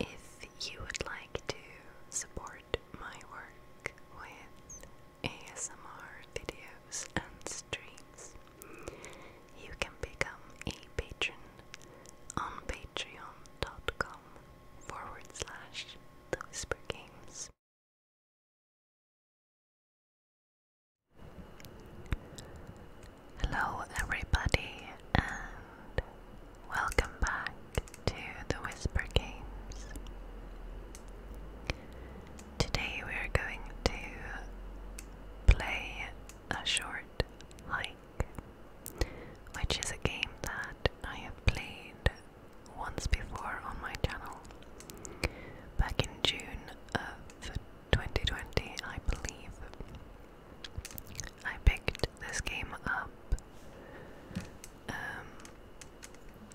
If you would like to support my work with ASMR videos and streams, you can become a patron on patreon.com forward Hello, everybody, and welcome back to the Whisper Games. Today we are going to play a short hike, which is a game that I have played once before on my channel. Back in June, of 2020, I believe. I picked this game up um,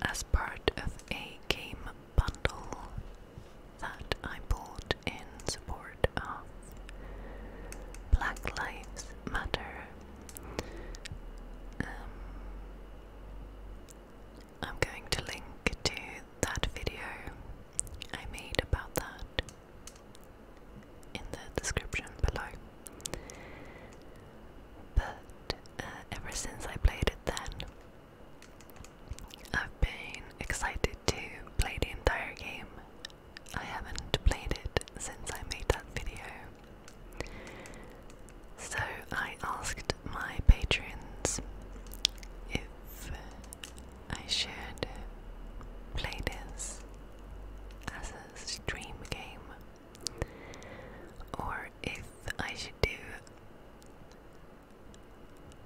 as part of a game bundle that I bought in support of Black Lives Matter. Um, I'm going to link to that video I made about that in the description below. But uh, ever since I played it then, I've been excited to play the entire game. I haven't played it since I made that video. So I asked my patrons if I should play this as a stream game or if I should do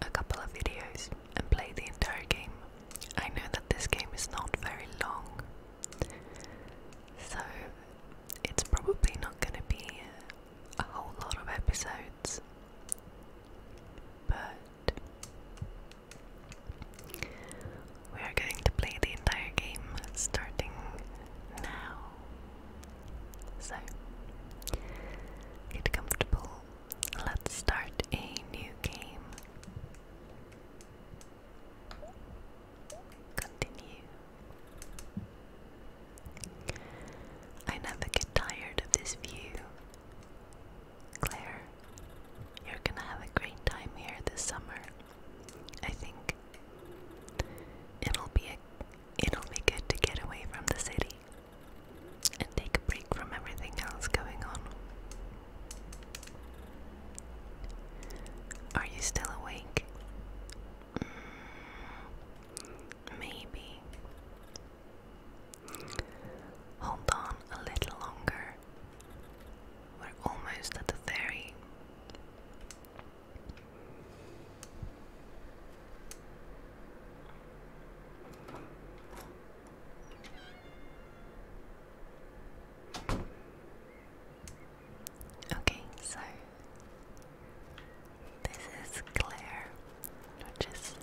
a couple of videos and play the entire game. I know that this game is not very long, so it's probably not going to be a whole lot of episodes, but we are going to play the entire game starting now. So, get comfortable. Let's start a new game. Continue. I never get tired of this view. Claire, you're gonna have a great time here this summer. I think it'll be it'll be good to get away from the city and take a break from everything else going on. Are you still awake? Mm, maybe. Hold on a little longer. We're almost at the ferry. Okay, so this is Claire, which is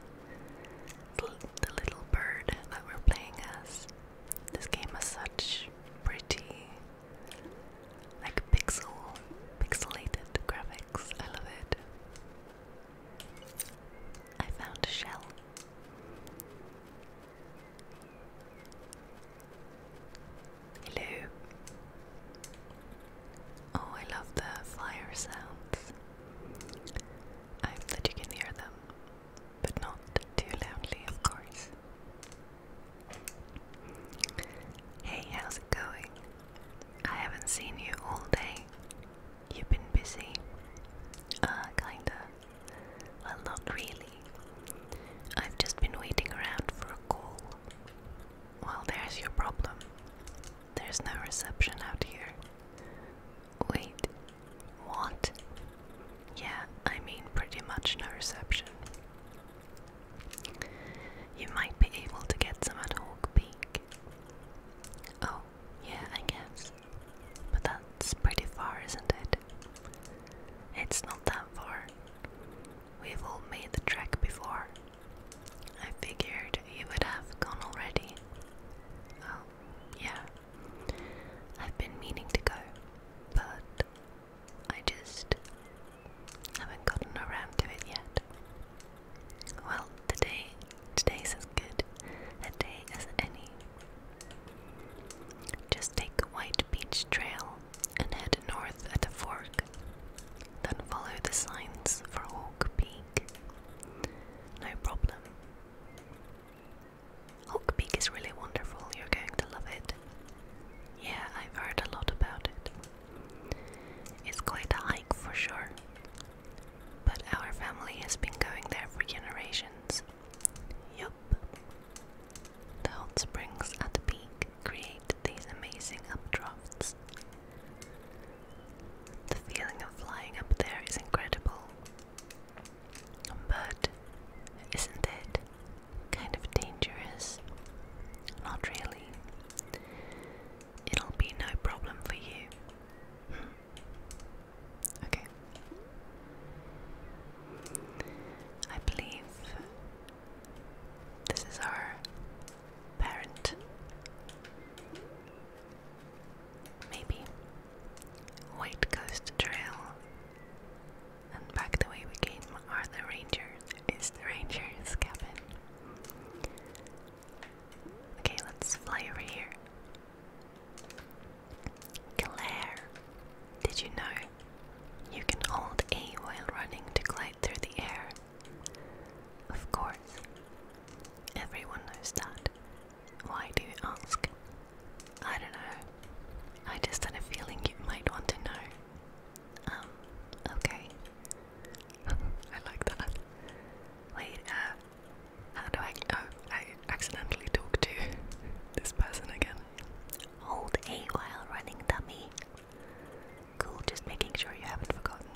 the little bird that we're playing as. This game has such pretty, like pixel, pixelated graphics. I love it. I found a shell. Hello. Oh, I love the fire sounds. I hope that you can hear them, but not too loudly, of course. Hey, how's it going? I haven't seen you all day. You've been busy? Uh, kinda. Well, not really. I've just been waiting around for a call. Well, there's your problem. There's no reception out here. Wait, what? Yeah, I mean, pretty much no reception. You might be able to get some at Hawk Peak. Oh, yeah, I guess. But that's pretty far, isn't it? It's not that far. We've all made the trek before. I figured you would have gone already. Oh, yeah. I've been meaning to go, but I just haven't gotten around to it yet. Well, today, today's as good a day as any. Just take White Beach Trail and head north at the fork. Then follow the signs for Hawk Peak. No problem. Hawk Peak is really wonderful, you're going to love it. Yeah, I've heard a lot about it. It's quite a hike for sure, but our family has been going there for generations. Yup. The hot springs at the peak create these amazing updrafts. The feeling of flying up there is incredible. But isn't it kind of dangerous? Not really. It'll be no problem for you. Hmm. Okay. I believe this is our parent. Maybe. White Coast Trail. And back the way we came are the Rangers. Is the Ranger's cabin. Okay, let's fly over here. Glare. Did you know you can hold A while running to glide through the air? Of course. Everyone knows that. Why do you ask? I don't know. I just had a feeling you might want to know. Um, okay. I like that. Wait, uh, how do I. Oh, I accidentally talked to this person again. Hold A while running dummy. Cool, just making sure you haven't forgotten.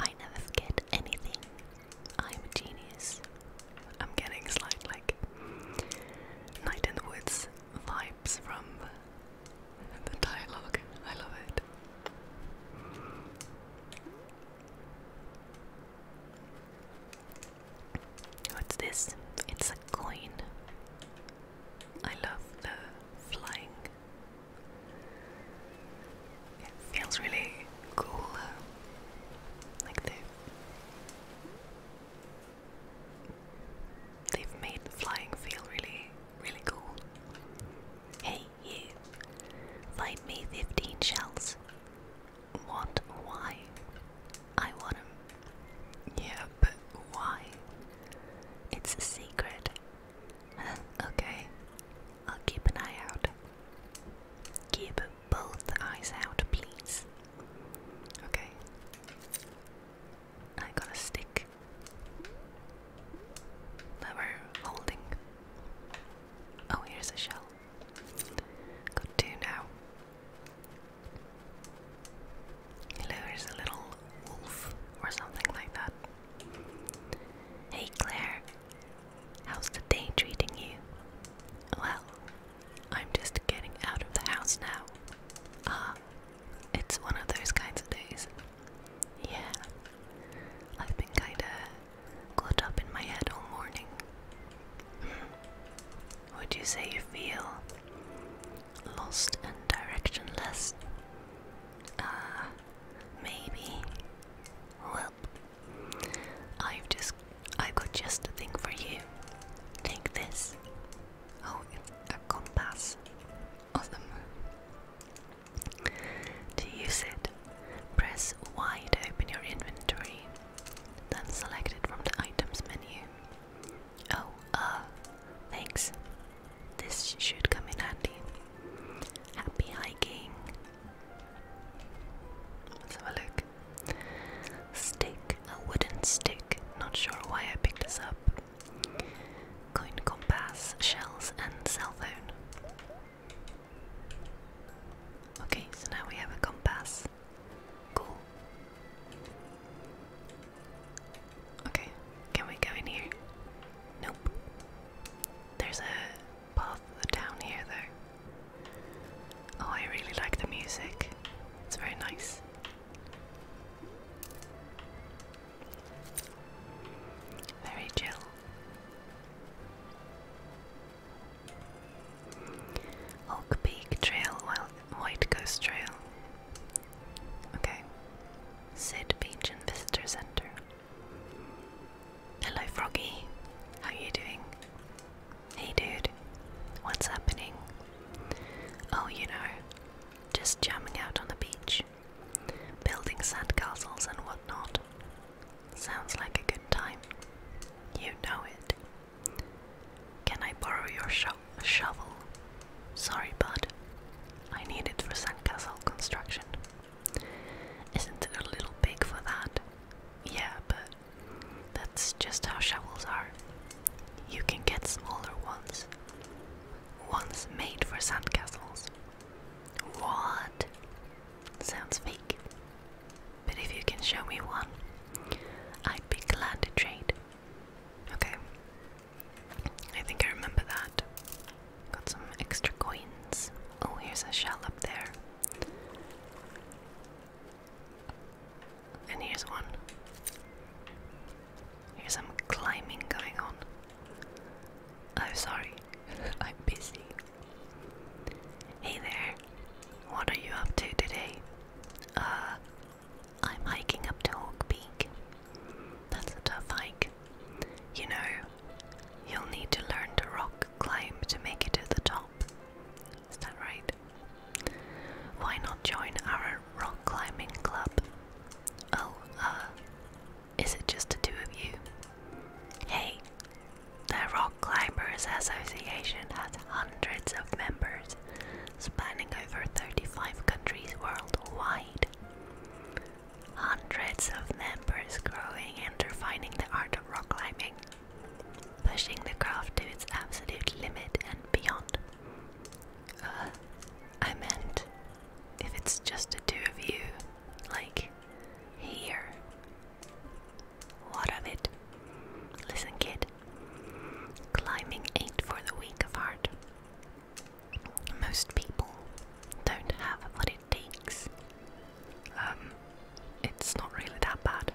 I never forget anything. I'm a genius. I'm getting slight like Night in the Woods vibes from the, dialogue. I love it. What's this? It's a coin. I love the flying it feels really cool. Like they they've made flying feel really, really cool. Hey you, find me 15 shells. What? Why? I want Yeah, but why? It's a secret. okay. I'll keep an eye out. Keep both eyes out, please. Okay. I got a stick that holding. Oh, here's a shell. Got two now. Hello, a little wolf or something like that. Hey Claire, how's the day treating you? Well, I'm just getting out of the house now. Ah, it's one of those kinds of days. Yeah, I've been kinda glued up in my head all morning. Hmm. Would you say you feel lost and directionless? Ah, maybe. Well, I've just, I've got just a thing for you. Take this. Oh, a compass. Awesome. To use it, press Y to open your inventory, then select it from the items menu. Oh, uh, thanks. This should come in handy. Happy hiking. Let's have a look. Stick, a wooden stick. Not sure why I picked this up. Coin compass, shells, and cell phone. Okay, so now we have a compass. Cool. Okay, can we go in here? Nope. There's a path down here though. Oh, I really like the music. It's very nice. Very chill. Oak Peak Trail, White Ghost Trail. Okay. Sid Beach and Visitor Center. Hello, Froggy. How you doing? Hey, dude. What's happening? Oh, you know, just jamming out on the beach, building sandcastles and whatnot. Sounds like a good time. You know it. Can I borrow your shovel? Sorry, bud. I need it for sandcastle construction. Isn't it a little big for that? Yeah, but that's just how shovels are. You can get smaller ones. Ones made for sandcastles. What? Sounds fake. But if you can show me one, I'd be glad to trade. Okay. I think I remember that. Got some extra coins. Oh, here's a shell up there. And here's one. Here's some climbing going on. I'm oh, sorry, I'm busy. Hey there, what are you up to today? Uh, I'm hiking up to Hawk Peak. That's a tough hike. You know, you'll need to learn to rock climb to make it to the top. Is that right? Why not join our rock climbing club? Oh, uh, is it just the two of you? Hey, the Rock Climbers Association has hundreds of members, spanning over 35 countries worldwide. Hundreds of members growing and refining the art of rock climbing, pushing the craft to its absolute limit and beyond. Uh, I meant, if it's just the two of you, like, here. What of it? Listen, kid. Climbing ain't for the weak of heart. Most people don't have what it takes. Um, it's not really that bad.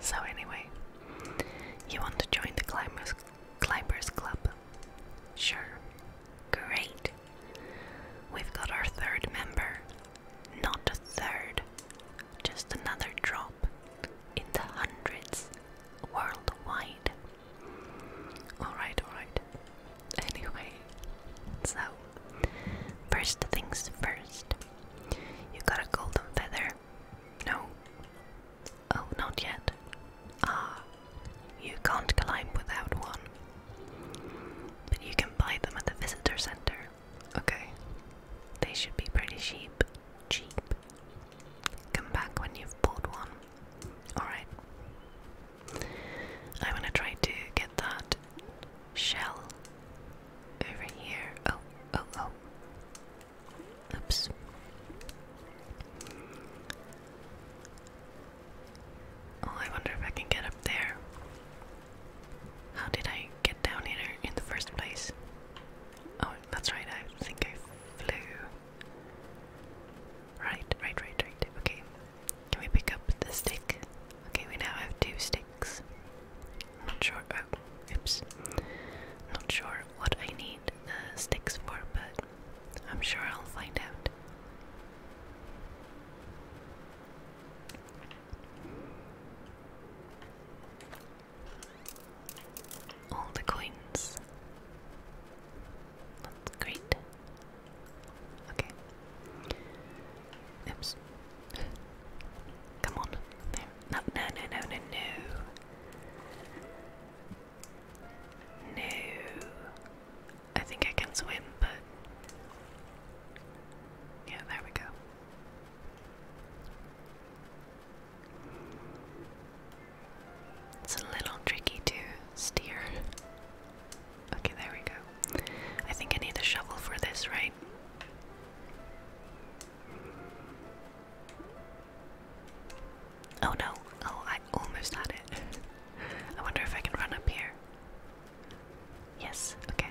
So anyway, you want to join the climbers climbers club? Sure. Great. We've got our third member. Not a third. Just another drop in the hundreds worldwide. Alright, alright anyway, so first things first. You got a golden feather? No. Oh, not yet. Ah, you can't climb without one. But you can buy them at the visitor center. Okay. They should be pretty cheap. Cheap. Come back when you've bought one. Alright. I want to try to get that shell over here. Oh, oh, oh. Oops. Oh, I wonder if I can get up there. How did I get down here in the first place? Oh, that's right, I think I flew. Right, right, right, right. Okay, can we pick up the stick? Okay, we now have two sticks. Not sure. Oh, oops. Not sure what I need the sticks for, but I'm sure I'll find out. All the coins. That's great. Okay. Oops. Come on. No, no, no, no, no, no. No. I think I can swim, but. Yeah, there we go. It's a little tricky to steer. Okay, there we go. I think I need a shovel for this, right? Oh no. Oh, I almost had it. I wonder if I can run up here. Yes, okay.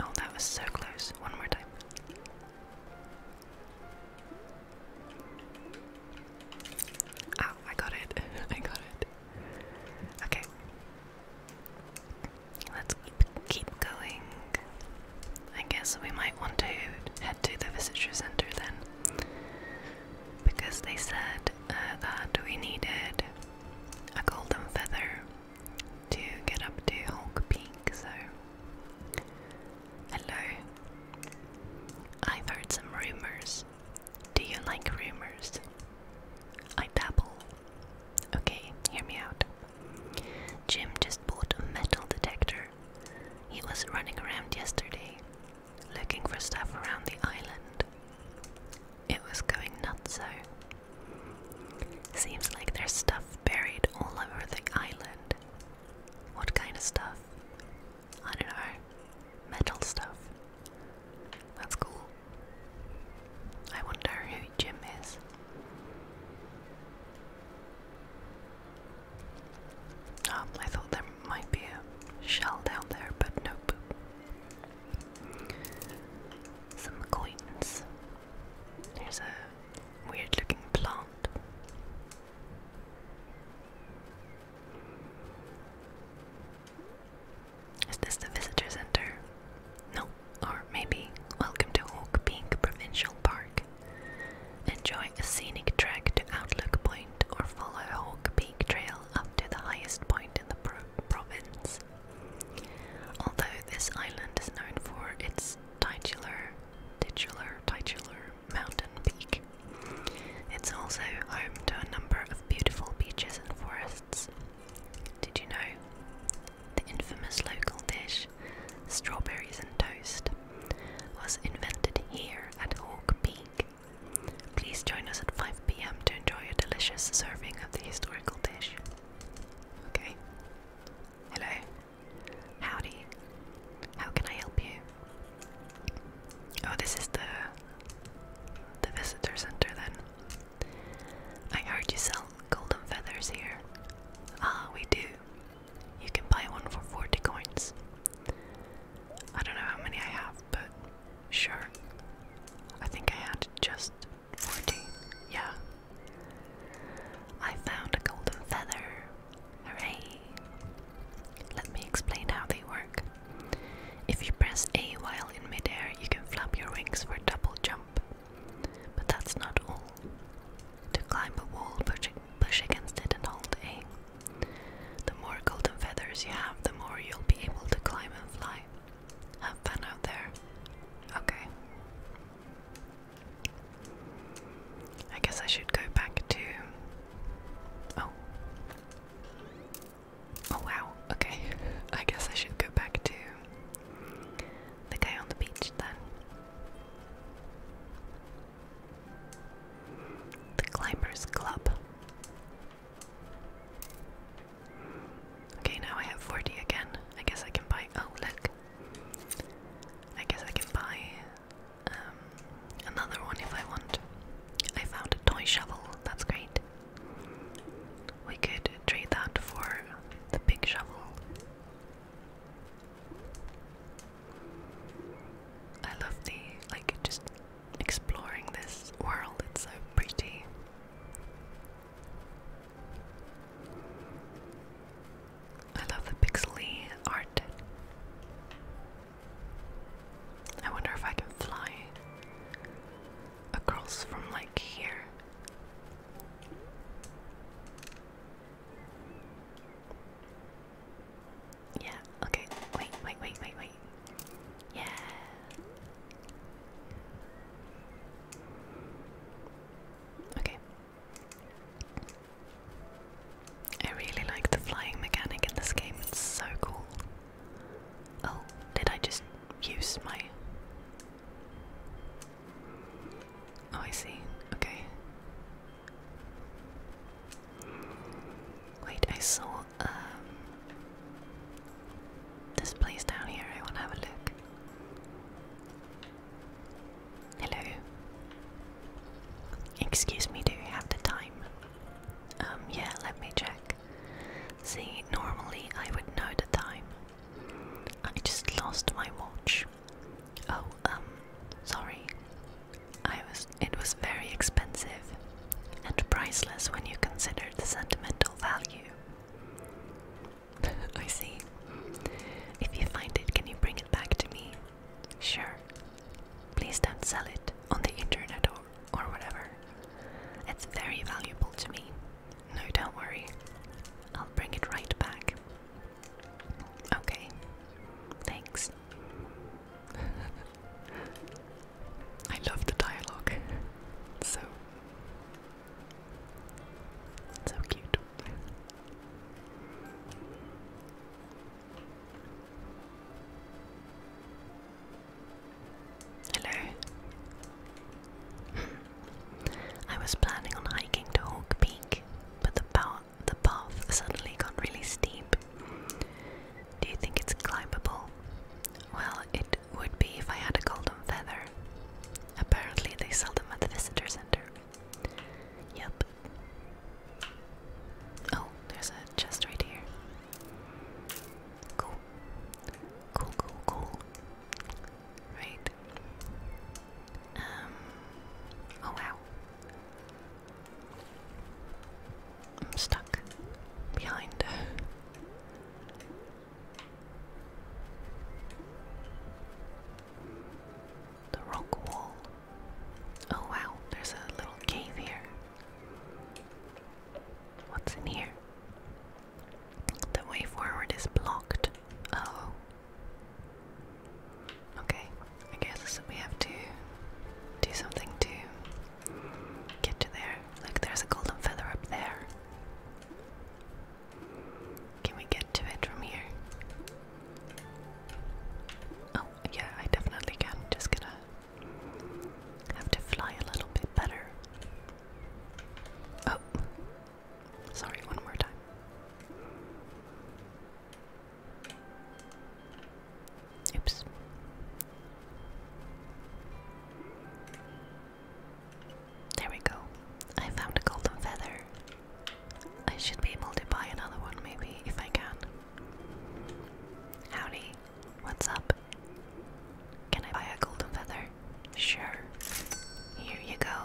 Oh, that was so close. One more time. Ow, ah, I got it. I got it. Okay. Let's keep, keep going. I guess we might want to head to the visitor center then. Because they said uh, that we needed a golden feather to get up to Hulk Peak, so. Hello. I've heard some rumors do you like rumors? I dabble. Okay, hear me out. Jim just bought a metal detector. He was running around yesterday, looking for stuff around the island. It was going nuts, so. Seems like there's stuff buried all over the island. What kind of stuff? I don't know. Metal stuff. That's cool. I wonder who Jim is. Um, I thought there might be a shell down there, but nope. Some coins. There's a weird looking plant. Is this the visitor center? No, or maybe welcome to Hawk Peak Provincial Park. Enjoy a scenic trek to Outlook Point or follow Hawk Peak Trail up to the highest point in the province. Although this island is known for its titular, titular, titular mountain peak, it's also home to a number of beautiful beaches and forests, did you know? The infamous local dish, strawberries and toast, was invented here at Hawke Peak. Please join us at 5pm to enjoy a delicious serving of the historical dish. Okay. Hello. Howdy. How can I help you? Oh, this is the the visitor center then. I heard you sell golden feathers here. Ah, we do. You can buy one for 40 coins. I don't know how many I have, but sure. I think I had just 40. Yeah. I found a golden feather. Hooray! Let me explain how they work. If you press A while in midair, you can flap your wings for a double jump. But that's not all. To climb a wall, push, against it and hold A. The more golden feathers you have, the more you'll be able to climb and fly. Have fun out there. Okay. I guess I should go back to. Oh. Oh wow, okay. I guess I should go back to the guy on the beach then. The Climbers Club. Okay, now I have 40 again. I guess I can buy. Oh, look. I guess I can buy um, another one if I want. I found a toy shovel. That's great. We could trade that for the big shovel. I love the like just exploring this world, it's so pretty. I love the pixely art. I wonder if I can fly across from like here. Yeah, okay. Wait, wait, wait, wait, wait. Yeah. Okay. I really like the flying mechanic in this game, it's so cool. Oh, did I just use my. Oh, I see. Okay. Wait, I saw um, this place down here. I want to have a look. Hello. Excuse me, do you have the time? Um, yeah, let me check. See, normally I would know the time. I just lost my watch. Oh, um, sorry. I was it was very expensive and priceless when you consider the sentimental value. I see. If you find it, can you bring it back to me? Sure. Please don't sell it on the internet or, or whatever. It's very valuable to me. No, don't worry. I'll bring it right back. Okay. Thanks. I love the dialogue. so so cute. Hello. I was planning on hiking to Hawk Peak, but the path, the path suddenly got really steep. Do you think it's climbable? Well, it would be if I had a golden feather. Apparently, they sell them at the visitor center. Yep. Oh, there's a chest right here. Cool. Cool, cool, cool. Right. Um. Oh wow. I'm stuck behind. The rock wall. Oh wow, there's a little cave here. What's in here? The way forward is blocked. Oh. Okay. I guess we have to do something to get to there. Look, there's a golden feather up there. Can we get to it from here? Oh, yeah, I definitely can. Just gonna have to fly a little bit better. Oh. Sorry, one more time. Oops. There we go. I found a golden feather. I should be able to buy another one maybe if I can. Howdy. What's up? Can I buy a golden feather? Sure. Here you go.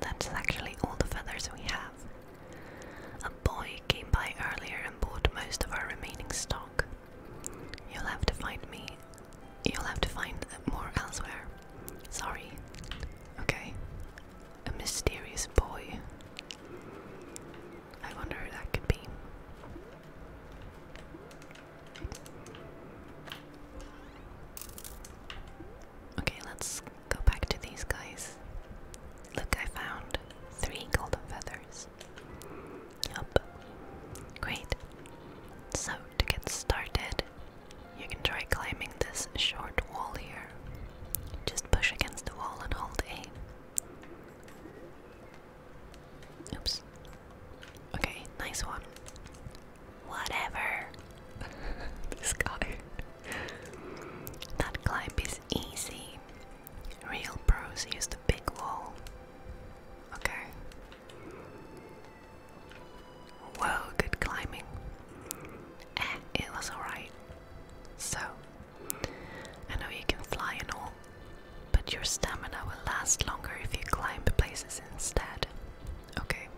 That's actually all the feathers we have. A boy came by earlier and bought most of our remaining stock. You'll have to find me. You'll have to find more elsewhere. Sorry. Okay. A mysterious boy. I wonder who that could be. Okay, let's go back to these guys. Look, I found three golden feathers. Yup. Great. So, to get started, you can try climbing this short wall here. Just push against the wall and hold A. Oops, Okay, nice one. Whatever. this guy. that climb is easy. Real pros use the big wall. Okay. Whoa, good climbing. Eh, it was alright. So, I know you can fly and all, but your stamina will last longer if you climb places instead. Okay.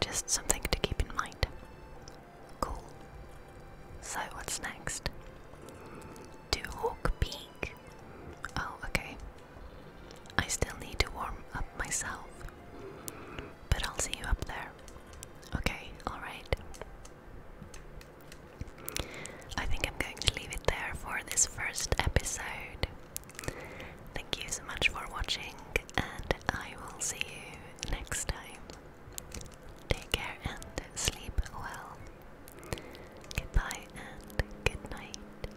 Just something to keep in mind. Cool. So, what's next? To Hawk Peak. Oh, okay. I still need to warm up myself. But I'll see you up there. Okay, alright. I think I'm going to leave it there for this first episode. Thank you so much for watching, and I will see you next time. Take care and sleep well. Goodbye and good night.